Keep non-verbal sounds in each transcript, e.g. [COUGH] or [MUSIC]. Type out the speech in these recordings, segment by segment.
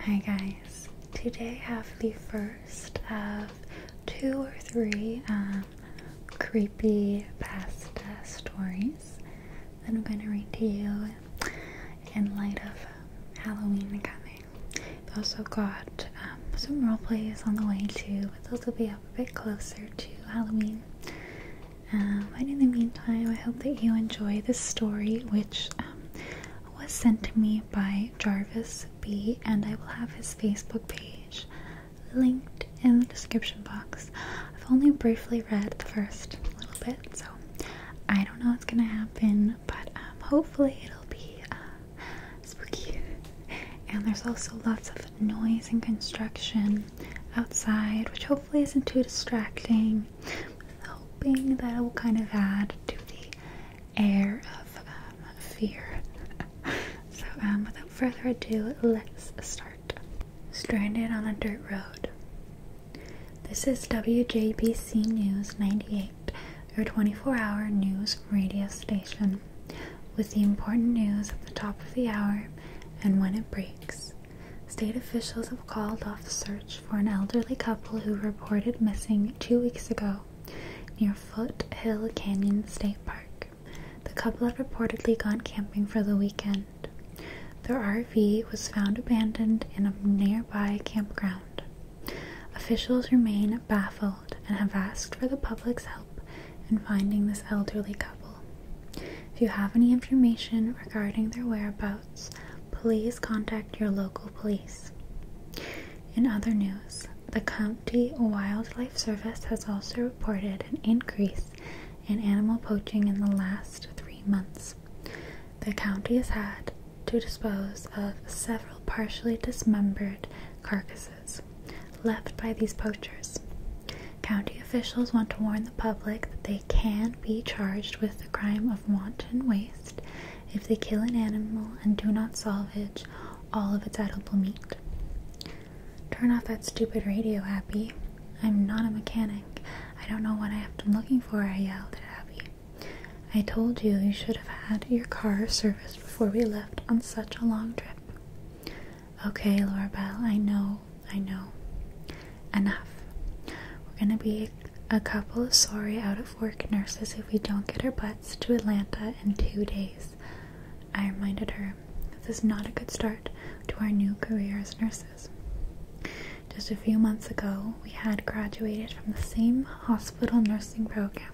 Hi guys, today I have the first of two or three um, creepy pasta stories that I'm going to read to you in light of um, Halloween coming. I've also got um, some role roleplays on the way too, but those will be up a bit closer to Halloween. but in the meantime, I hope that you enjoy this story, which was sent to me by Jarvis B, and I will have his Facebook page linked in the description box. I've only briefly read the first little bit, so I don't know what's gonna happen, but um, hopefully it'll be uh, spooky. And there's also lots of noise and construction outside, which hopefully isn't too distracting hoping that it will kind of add to the air of um, fear. [LAUGHS] so, um, without further ado, let's start. Stranded on a dirt road. This is WJBC News 98, your 24 hour news radio station, with the important news at the top of the hour and when it breaks. State officials have called off search for an elderly couple who reported missing two weeks ago near Foothill Canyon State Park. The couple had reportedly gone camping for the weekend. Their RV was found abandoned in a nearby campground. Officials remain baffled and have asked for the public's help in finding this elderly couple. If you have any information regarding their whereabouts, please contact your local police. In other news, the County Wildlife Service has also reported an increase in animal poaching in the last three months. The county has had to dispose of several partially dismembered carcasses left by these poachers. County officials want to warn the public that they can be charged with the crime of wanton waste if they kill an animal and do not salvage all of its edible meat. Turn off that stupid radio, Abby. I'm not a mechanic. I don't know what I have been looking for, I yelled at Abby. I told you you should have had your car serviced before we left on such a long trip. Okay, Laura Belle. I know, I know. Enough. We're gonna be a couple of sorry out of work nurses if we don't get our butts to Atlanta in two days. I reminded her, This is not a good start to our new career as nurses. Just a few months ago, we had graduated from the same hospital nursing program.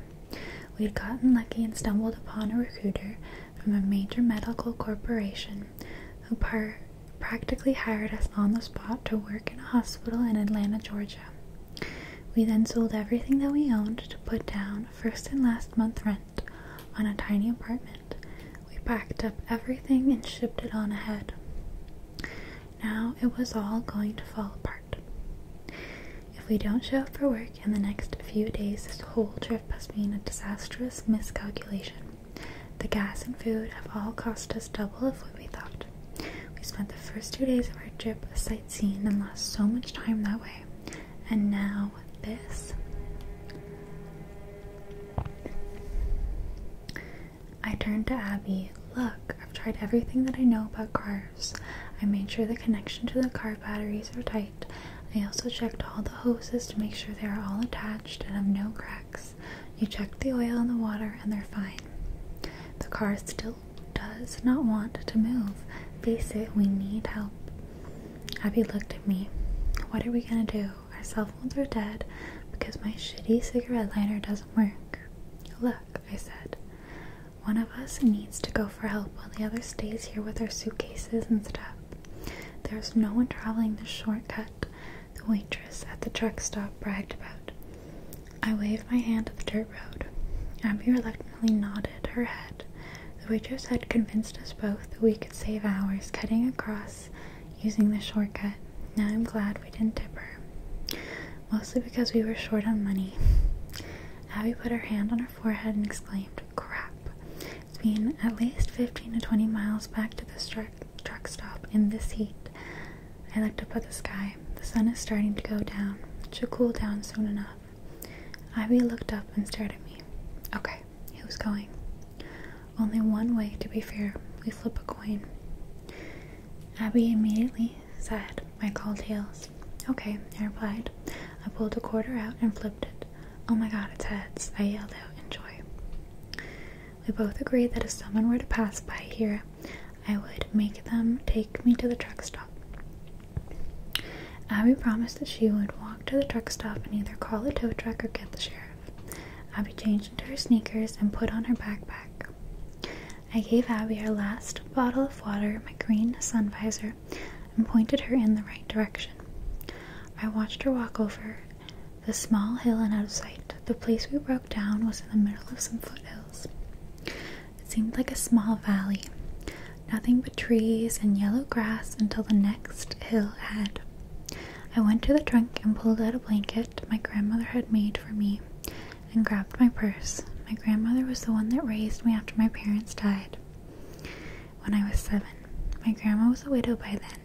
We would gotten lucky and stumbled upon a recruiter from a major medical corporation who practically hired us on the spot to work in a hospital in Atlanta, Georgia. Georgia. We then sold everything that we owned to put down first and last month rent on a tiny apartment. We packed up everything and shipped it on ahead. Now it was all going to fall apart. If we don't show up for work in the next few days, this whole trip must been a disastrous miscalculation. The gas and food have all cost us double of what we thought. We spent the first two days of our trip sightseeing and lost so much time that way. And now this. I turned to Abby. Look, I've tried everything that I know about cars. I made sure the connection to the car batteries are tight. I also checked all the hoses to make sure they are all attached and have no cracks. You check the oil and the water, and they're fine. The car still does not want to move. Face it, we need help. Abby looked at me. What are we gonna do? Our cell phones are dead because my shitty cigarette lighter doesn't work. Look, I said. One of us needs to go for help while the other stays here with our suitcases and stuff. There's no one traveling this shortcut the waitress at the truck stop bragged about. I waved my hand at the dirt road. Abby reluctantly nodded her head. The waitress had convinced us both that we could save hours cutting across using the shortcut. Now I'm glad we didn't tip her. Mostly because we were short on money. Abby put her hand on her forehead and exclaimed, Crap. It's been at least 15 to 20 miles back to this truck stop in this heat. I looked up at the sky. The sun is starting to go down. It should cool down soon enough. Ivy looked up and stared at me. Okay, he was going. Only one way to be fair. We flip a coin. Abby immediately said, I called tails. Okay, I replied. I pulled a quarter out and flipped it. Oh my god, it's heads. I yelled out in joy. We both agreed that if someone were to pass by here, I would make them take me to the truck stop. Abby promised that she would walk to the truck stop and either call a tow truck or get the sheriff. Abby changed into her sneakers and put on her backpack. I gave Abby her last bottle of water, my green sun visor, and pointed her in the right direction. I watched her walk over the small hill and out of sight, the place we broke down was in the middle of some foothills. It seemed like a small valley, nothing but trees and yellow grass until the next hillhead. I went to the trunk and pulled out a blanket my grandmother had made for me and grabbed my purse. My grandmother was the one that raised me after my parents died when I was seven. My grandma was a widow by then.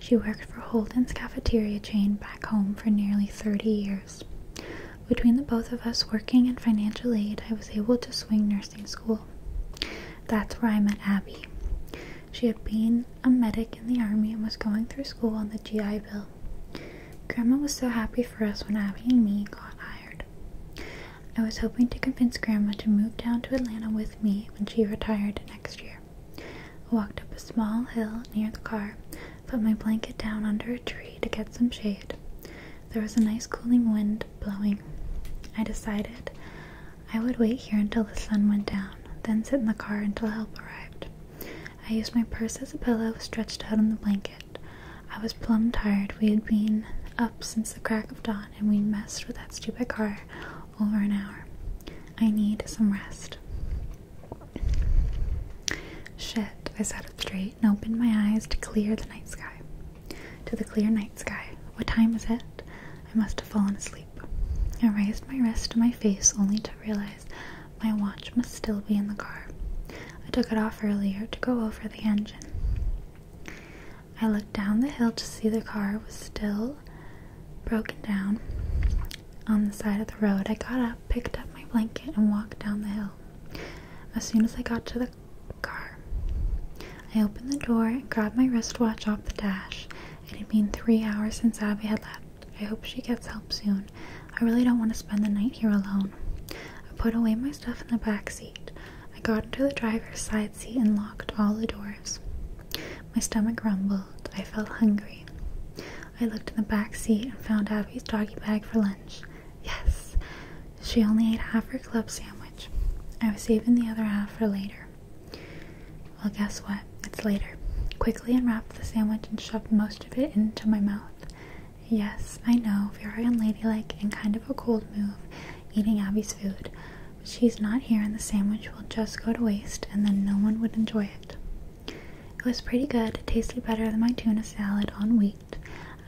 She worked for Holden's cafeteria chain back home for nearly 30 years. Between the both of us working and financial aid, I was able to swing nursing school. That's where I met Abby. She had been a medic in the army and was going through school on the GI Bill. Grandma was so happy for us when Abby and me got hired. I was hoping to convince Grandma to move down to Atlanta with me when she retired next year walked up a small hill near the car, put my blanket down under a tree to get some shade. There was a nice cooling wind blowing. I decided I would wait here until the sun went down, then sit in the car until help arrived. I used my purse as a pillow, stretched out on the blanket. I was plumb tired. We had been up since the crack of dawn and we messed with that stupid car over an hour. I need some rest. Shit, I sat up straight and opened my eyes to clear the night sky. To the clear night sky. What time is it? I must have fallen asleep. I raised my wrist to my face only to realize my watch must still be in the car. I took it off earlier to go over the engine. I looked down the hill to see the car was still broken down on the side of the road. I got up picked up my blanket, and walked down the hill. As soon as I got to the car, I opened the door and grabbed my wristwatch off the dash. It had been three hours since Abby had left. I hope she gets help soon. I really don't want to spend the night here alone. I put away my stuff in the back seat. I got into the driver's side seat and locked all the doors. My stomach rumbled. I felt hungry. I looked in the back seat and found Abby's doggy bag for lunch. Yes, she only ate half her club sandwich. I was saving the other half for later. Well, guess what? It's later. Quickly unwrapped the sandwich and shoved most of it into my mouth. Yes, I know, very unladylike and kind of a cold move, eating Abby's food. But she's not here and the sandwich will just go to waste and then no one would enjoy it. It was pretty good. It tasted better than my tuna salad on wheat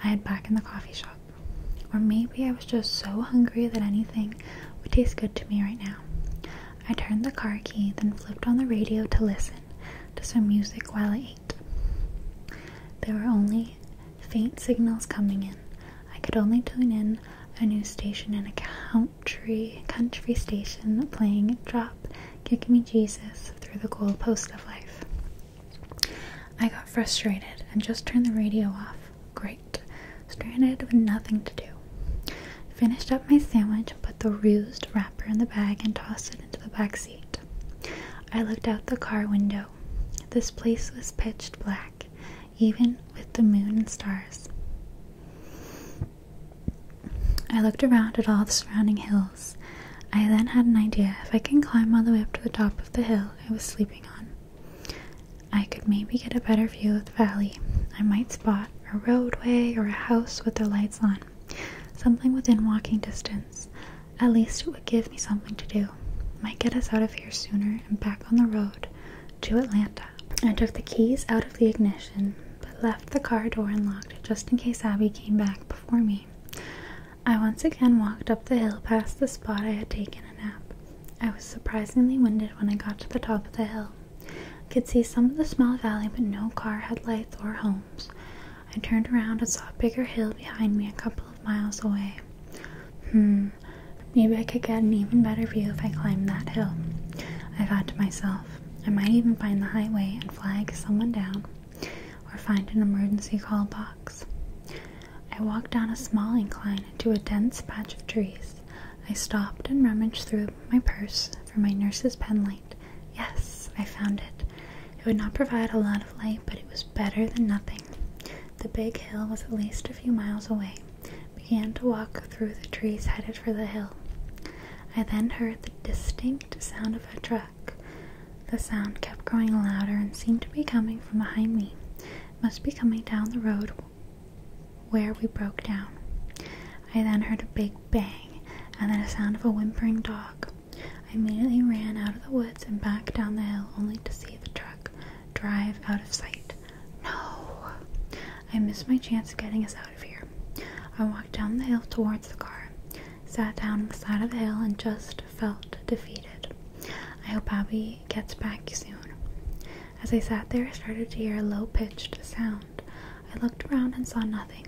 I had back in the coffee shop. Or maybe I was just so hungry that anything would taste good to me right now. I turned the car key, then flipped on the radio to listen to some music while I ate. There were only faint signals coming in. I could only tune in a new station and account country station playing Drop Kick Me Jesus through the goalpost of life. I got frustrated and just turned the radio off. Great. Stranded with nothing to do. Finished up my sandwich put the rused wrapper in the bag and tossed it into the back seat. I looked out the car window. This place was pitch black, even with the moon and stars. I looked around at all the surrounding hills. I then had an idea if I can climb all the way up to the top of the hill I was sleeping on, I could maybe get a better view of the valley. I might spot a roadway or a house with their lights on, something within walking distance. At least it would give me something to do. Might get us out of here sooner and back on the road to Atlanta. I took the keys out of the ignition but left the car door unlocked just in case Abby came back before me. I once again walked up the hill past the spot I had taken a nap. I was surprisingly winded when I got to the top of the hill. could see some of the small valley, but no car had lights or homes. I turned around and saw a bigger hill behind me a couple of miles away. Hmm, maybe I could get an even better view if I climbed that hill. I thought to myself. I might even find the highway and flag someone down, or find an emergency call box. I walked down a small incline into a dense patch of trees. I stopped and rummaged through my purse for my nurse's penlight. Yes, I found it. It would not provide a lot of light, but it was better than nothing. The big hill was at least a few miles away. I began to walk through the trees headed for the hill. I then heard the distinct the sound of a truck. The sound kept growing louder and seemed to be coming from behind me. must be coming down the road where we broke down. I then heard a big bang and then a sound of a whimpering dog. I immediately ran out of the woods and back down the hill only to see the truck drive out of sight. No! I missed my chance of getting us out of here. I walked down the hill towards the car, sat down on the side of the hill, and just felt defeated. I hope Abby gets back soon. As I sat there, I started to hear a low pitched sound. I looked around and saw nothing.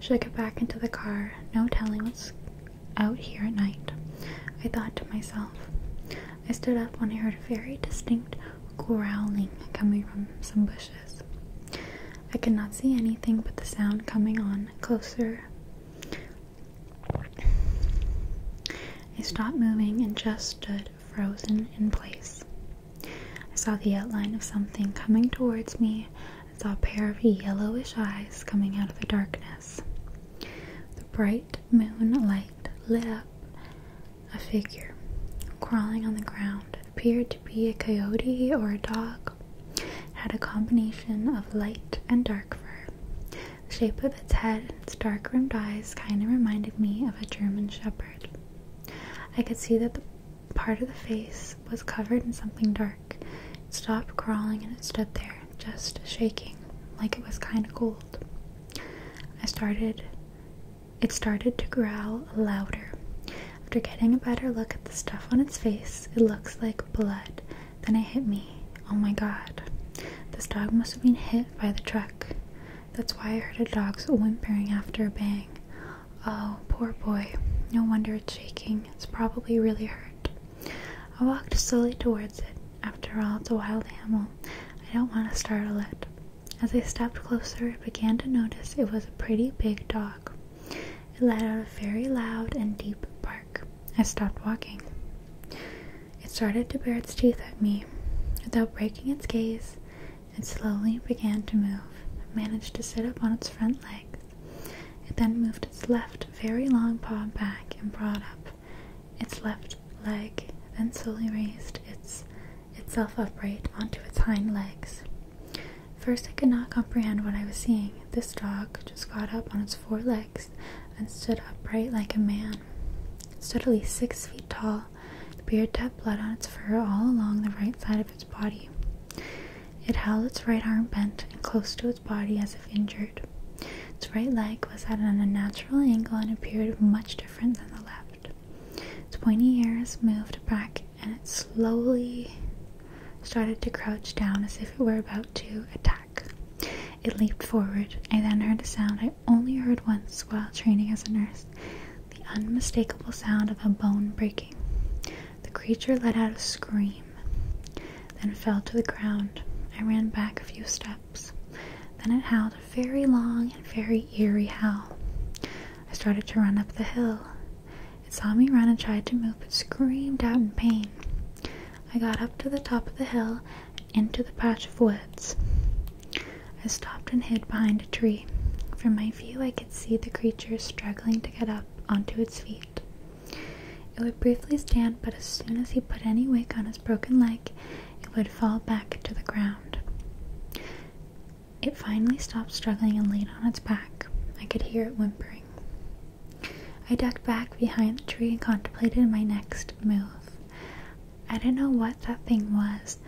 Should I get back into the car? No telling what's out here at night. I thought to myself. I stood up when I heard a very distinct growling coming from some bushes. I could not see anything but the sound coming on closer. I stopped moving and just stood frozen in place. I saw the outline of something coming towards me I saw a pair of yellowish eyes coming out of the darkness. The bright moonlight lit up a figure crawling on the ground appeared to be a coyote or a dog had a combination of light and dark fur. The shape of its head and its dark rimmed eyes kind of reminded me of a German shepherd. I could see that the part of the face was covered in something dark. It stopped crawling and it stood there, just shaking, like it was kind of cold. I started it started to growl louder. After getting a better look at the stuff on its face, it looks like blood. Then it hit me. Oh my god. This dog must have been hit by the truck. That's why I heard a dog's whimpering after a bang. Oh, poor boy. No wonder it's shaking. It's probably really hurt. I walked slowly towards it. After all, it's a wild animal. I don't want to startle it. As I stepped closer, I began to notice it was a pretty big dog. It let out a very loud and deep bark. I stopped walking. It started to bare its teeth at me. Without breaking its gaze, it slowly began to move. managed to sit up on its front legs. It then moved its left very long paw back and brought up its left leg, then slowly raised its itself upright onto its hind legs. First, I could not comprehend what I was seeing. This dog just got up on its four legs and stood upright like a man. It stood at least six feet tall. The beard had blood on its fur all along the right side of its body. It held its right arm bent and close to its body as if injured. Its right leg was at an unnatural angle and appeared much different than the left head. Its pointy moved back and it slowly started to crouch down as if it were about to attack. It leaped forward. I then heard a sound I only heard once while training as a nurse the unmistakable sound of a bone breaking. The creature let out a scream, then fell to the ground. I ran back a few steps. Then it howled a very long and very eerie howl. I started to run up the hill. It saw me run and tried to move, but screamed out in pain. I got up to the top of the hill into the patch of woods. I stopped and hid behind a tree. From my view, I could see the creature struggling to get up onto its feet. It would briefly stand, but as soon as he put any weight on his broken leg, it would fall back to the ground. It finally stopped struggling and laid on its back. I could hear it whimpering. I ducked back behind the tree and contemplated my next move. I didn't know what that thing was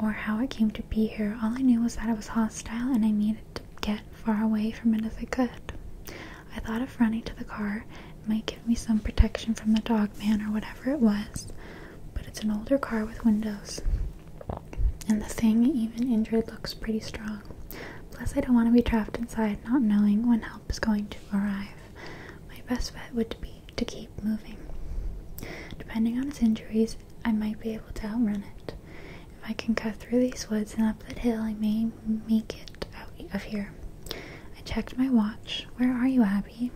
or how it came to be here. All I knew was that it was hostile and I needed to get far away from it if I could. I thought of running to the car. It might give me some protection from the dog man or whatever it was, but it's an older car with windows. And the thing, even injured, looks pretty strong. Plus, I don't want to be trapped inside not knowing when help is going to arrive. My best bet would be to keep moving. Depending on his injuries, I might be able to outrun it. If I can cut through these woods and up that hill, I may make it out of here. I checked my watch. Where are you, Abby?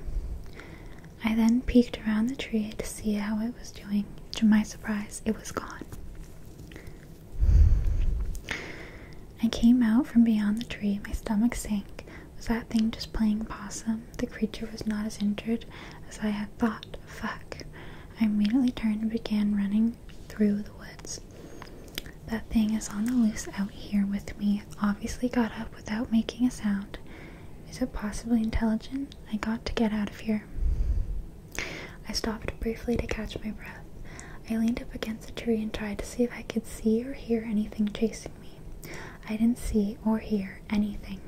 I then peeked around the tree to see how it was doing. To my surprise, it was gone. I came out from beyond the tree, my stomach sank. Was that thing just playing possum? The creature was not as injured as I had thought. Fuck. I immediately turned and began running through the woods. That thing is on the loose out here with me. Obviously, got up without making a sound. Is it possibly intelligent? I got to get out of here. I stopped briefly to catch my breath. I leaned up against a tree and tried to see if I could see or hear anything chasing me. I didn't see or hear anything.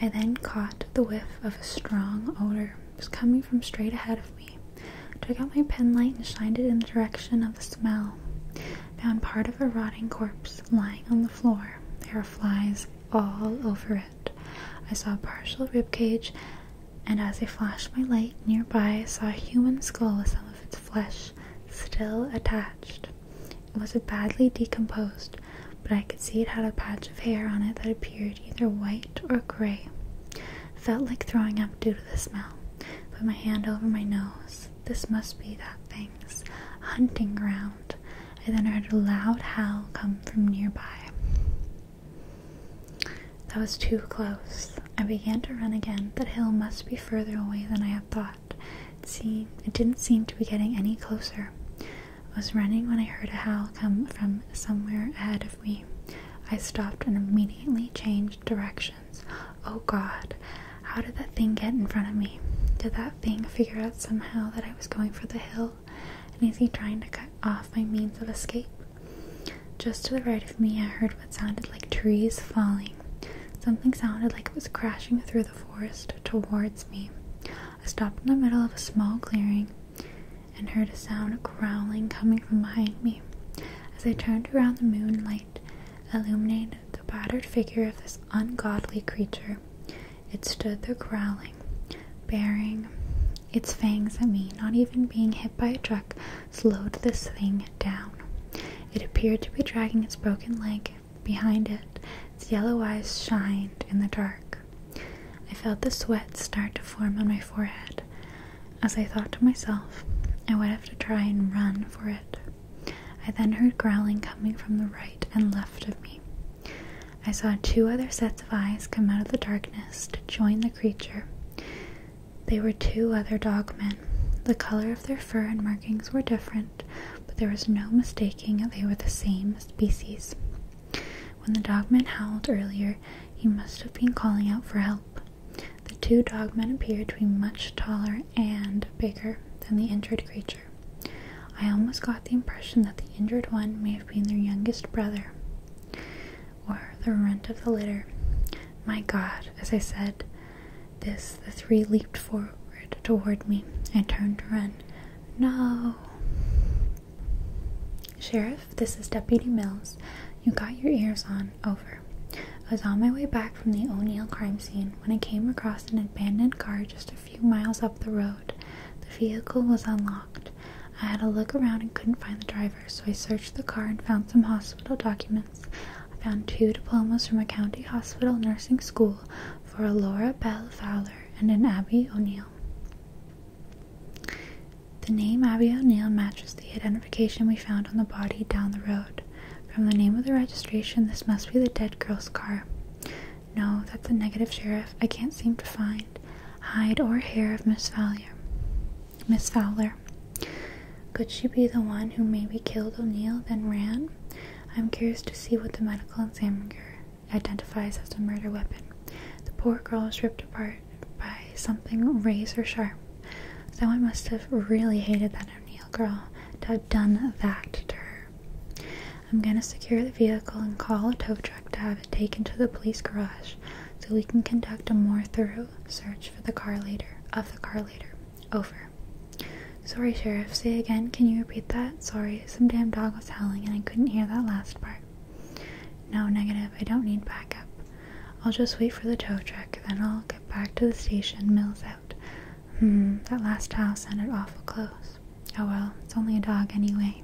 I then caught the whiff of a strong odor. It was coming from straight ahead of me. I took out my penlight and shined it in the direction of the smell. Found part of a rotting corpse lying on the floor. There are flies all over it. I saw a partial rib cage, and as I flashed my light nearby, I saw a human skull with some of its flesh still attached. It was badly decomposed, but I could see it had a patch of hair on it that appeared either white or gray. It felt like throwing up due to the smell. Put my hand over my nose. This must be that thing's hunting ground. I then heard a loud howl come from nearby. That was too close. I began to run again. The hill must be further away than I had thought. See, it didn't seem to be getting any closer. I was running when I heard a howl come from somewhere ahead of me. I stopped and immediately changed directions. Oh God, how did that thing get in front of me? Did that thing figure out somehow that I was going for the hill? And is he trying to cut off my means of escape? Just to the right of me, I heard what sounded like trees falling. Something sounded like it was crashing through the forest towards me. I stopped in the middle of a small clearing and heard a sound of growling coming from behind me. As I turned around, the moonlight illuminated the battered figure of this ungodly creature. It stood there growling, bearing its fangs at me. Not even being hit by a truck slowed this thing down. It appeared to be dragging its broken leg behind it. Its yellow eyes shined in the dark. I felt the sweat start to form on my forehead as I thought to myself, I would have to try and run for it. I then heard growling coming from the right and left of me. I saw two other sets of eyes come out of the darkness to join the creature. They were two other dogmen. The color of their fur and markings were different, but there was no mistaking they were the same species. When the dogman howled earlier, he must have been calling out for help. The two dogmen appeared to be much taller and bigger than the injured creature. I almost got the impression that the injured one may have been their youngest brother or the runt of the litter. My God, as I said this, the three leaped forward toward me. I turned to run. No! Sheriff, this is Deputy Mills. You got your ears on. Over. I was on my way back from the O'Neill crime scene when I came across an abandoned car just a a few miles up the road, the vehicle was unlocked. I had a look around and couldn't find the driver, so I searched the car and found some hospital documents. I found two diplomas from a county hospital nursing school for Laura Bell Fowler and an Abby O'Neill. The name Abby O'Neill matches the identification we found on the body down the road. From the name of the registration, this must be the dead girl's car. No, that's a negative, Sheriff. I can't seem to find hide or hair of Miss Fowler. Miss Fowler. Could she be the one who maybe killed O'Neill, then ran? I'm curious to see what the medical examiner identifies as the murder weapon. The poor girl was ripped apart by something razor sharp. Someone must have really hated that O'Neill girl to have done that to her. I'm gonna secure the vehicle and call a tow truck to have it taken to the police garage so we can conduct a more thorough search for the car later of the car later. Over. Sorry, Sheriff. Say again, can you repeat that? Sorry, some damn dog was howling and I couldn't hear that last part. No, negative. I don't need backup. I'll just wait for the tow truck, then I'll get back to the station. Mills out. Hmm, that last house sounded awful close. Oh well, it's only a dog anyway.